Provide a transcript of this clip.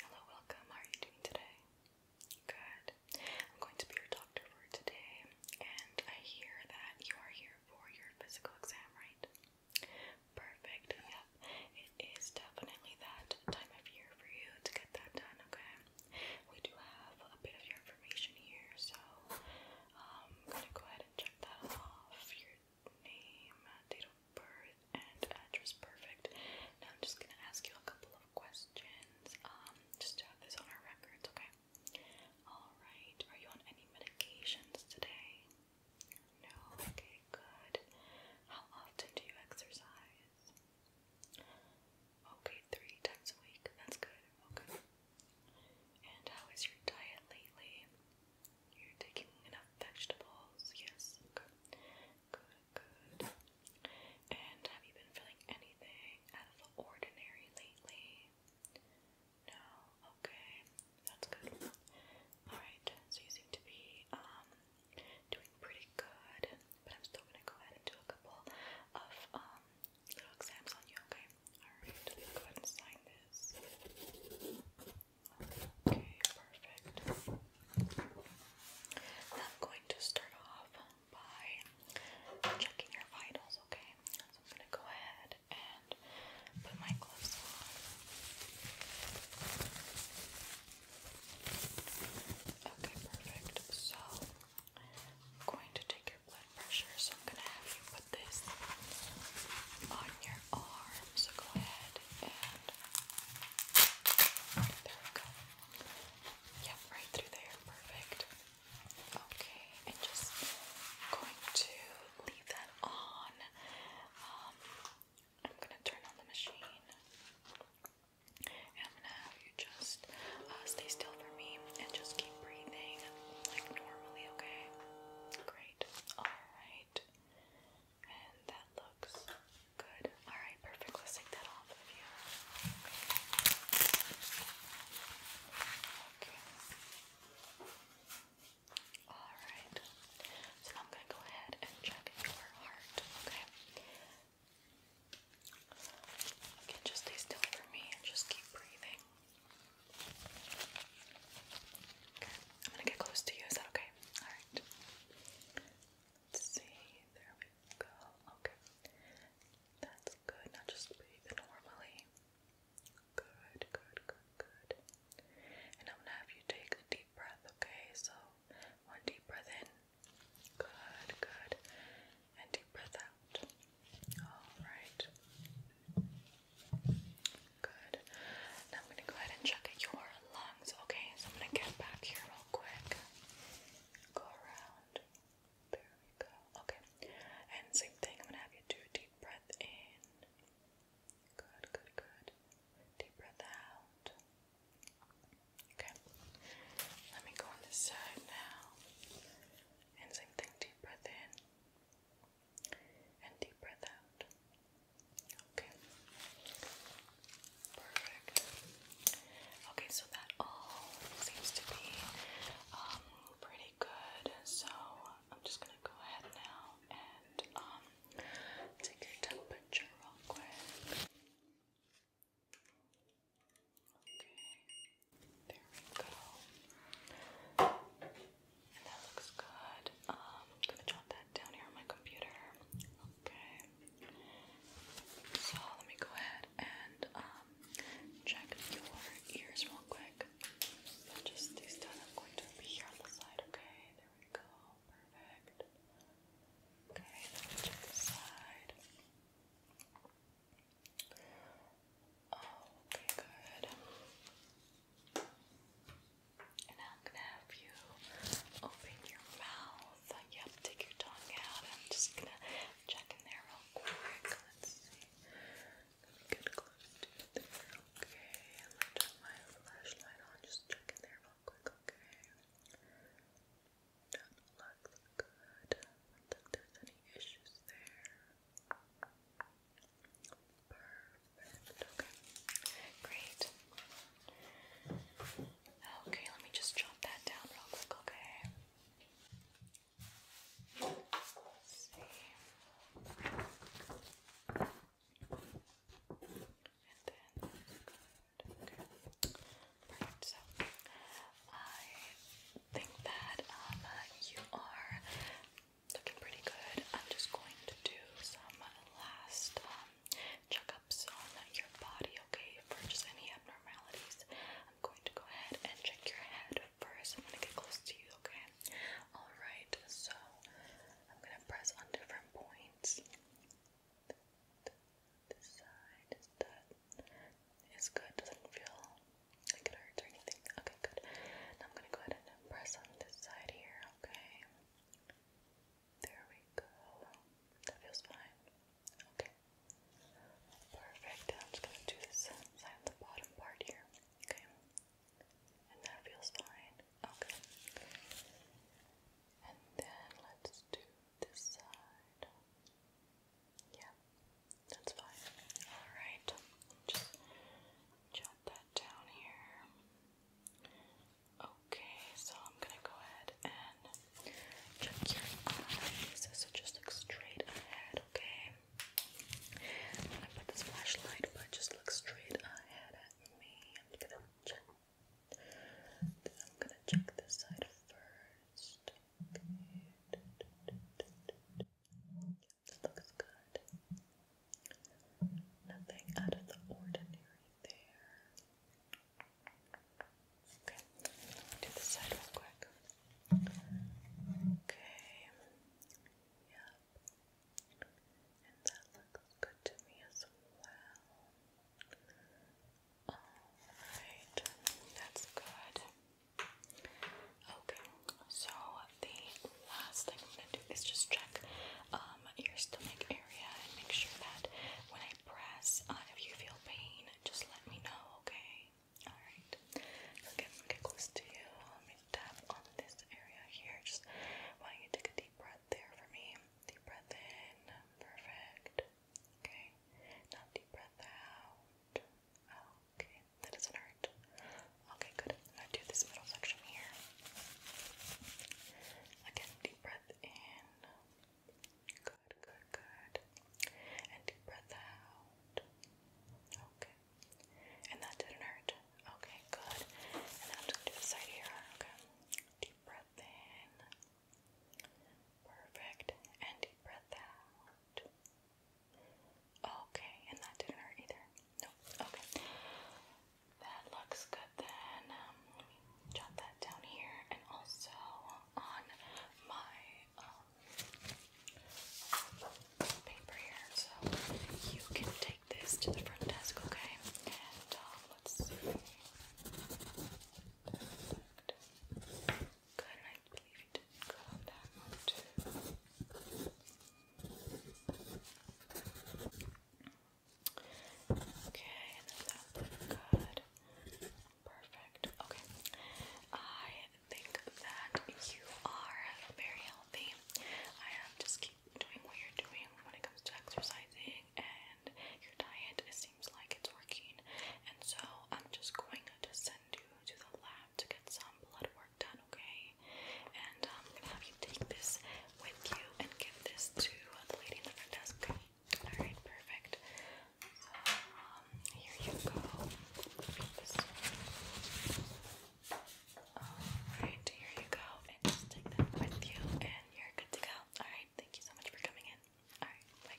Hello, welcome. How are you doing today? Good. I'm going to be your doctor for today, and I hear that you are here for your physical exam, right? Perfect. Yep. It is definitely that time of year for you to get that done, okay? We do have a bit of your information here, so um, I'm gonna go ahead and check that off name, uh, date of birth, and address. Perfect. Now I'm just gonna ask you a couple of questions, um, just to have this on our records, okay? Alright, are you on any medications today? No, okay, good. How often do you exercise? Okay, three times a week. That's good. Okay. And how is your diet lately? You're taking enough vegetables? Yes, good, good, good. And have you been feeling anything out of the ordinary lately? No, okay, that's good. Alright, so you seem to be um, doing pretty good, but I'm still gonna go ahead and do a couple of um, little exams on you, okay? Alright, let me sign this. Okay, perfect. I'm going to start off by checking your vitals, okay? So I'm going to go ahead and put my gloves on. Okay, perfect. So, I'm going to take your blood pressure, so I'm going to have you put this on your arm, so go ahead and there we go. Yep, right through there, perfect. Okay, and just going to leave that on. Um, I'm gonna turn on the machine. And I'm gonna have you just uh, stay still for me and just keep breathing like normally, okay? Great alright. And that looks good. Alright, perfect. take that off of you. Okay. Alright. So I'm going to go ahead and check your heart, okay? Okay, just stay still for me and just keep breathing. I'm gonna get close to you. Is that okay? All right. Let's see. There we go. Okay, that's good. Now just breathe normally. Good, good, good, good. And I'm gonna have you take a deep breath. Okay, so one deep breath in. Good, good. And deep breath out. All right. Good. Now I'm going to go ahead and check your lungs. Okay, so I'm going to get back here real quick. Go around. There we go. Okay. And same thing, I'm going to have you do a deep breath in. Good, good, good. Deep breath out. Okay. Let me go on this side now. And same thing, deep breath in and deep breath out. Okay. Perfect. Okay, so that all seems to be um, pretty good. So I'm just gonna go ahead now and um, take your temperature real quick. Okay. There we go. And that looks good. I'm gonna jot that down here on my computer. Okay. So let me go ahead and um, check your ears real quick. just these done. I'm going to be here on the side. Okay. There we go. Perfect. Okay. Let check the side. Okay, good. And I'm gonna have you open your mouth. Yep, take your tongue out. I'm just gonna check in there real quick. Let's see. Get close to there. Okay, I'm gonna turn my flashlight on. Just check in there real quick. Okay. looks good. I there's any issues there. Perfect. Okay. Great. Okay, let me just jot that down real quick, okay? So I think that um you are Looking pretty good. I'm just going to do some last um, checkups on your body, okay? For just any abnormalities. I'm going to go ahead and check your head first. I'm going to get close to you, okay? Alright, so I'm going to press on different points. This side is good. good, doesn't feel it hurts or anything. Okay, good. I'm gonna go ahead and press on this side here, okay? There we go. That feels fine. Okay. Perfect. I'm just gonna do this side the bottom part here, okay? And that feels fine. Okay. And then let's do this side. Yeah, that's fine. Alright, just jot that down here. Okay, so I'm gonna go ahead and check your eyes. So just look straight ahead, okay? I'm gonna put this flashlight, but just look straight ahead at me. I'm gonna check. I'm gonna check this side first. Okay looks good. Nothing out of the ordinary there. Okay, do the side real quick. Okay, yep. And that looks good to me as well. Alright, that's good. Okay, so the last thing I'm gonna do is just check um, your stomach area and make sure that when I press, uh, if you feel pain, just let me know, okay? Alright, okay, I'm gonna get close to you. Let me tap on this area here. Just want you to take a deep breath there for me? Deep breath in, perfect. Okay, now deep breath out. Oh, okay. That doesn't hurt. Okay, good. I'm do this middle section here. Again, deep breath in. Good, good, good. And deep breath out. Okay. And that didn't hurt. Okay, good. And I'm just gonna do this side here. Okay. Deep breath in. Perfect. And deep breath out. Okay, and that didn't hurt either. No, okay. That looks good then. Um, let me jot that down here and also on my um, paper here. So you can take this to the front desk, okay? And um, let's Good, I believe you did good on that one too. Okay, that looked good. Perfect. Okay. I think that you are very healthy. I just keep doing what you're doing when it comes to exercising and your diet. It seems like it's working. And so I'm just going to send you to the lab to get some blood work done, okay? And I'm um, gonna have you take this with you and give this to the lady in the front desk, okay? Alright, perfect. So, um, here you go. Alright, here you go. And just take that with you, and you're good to go. Alright, thank you so much for coming in. Alright, bye.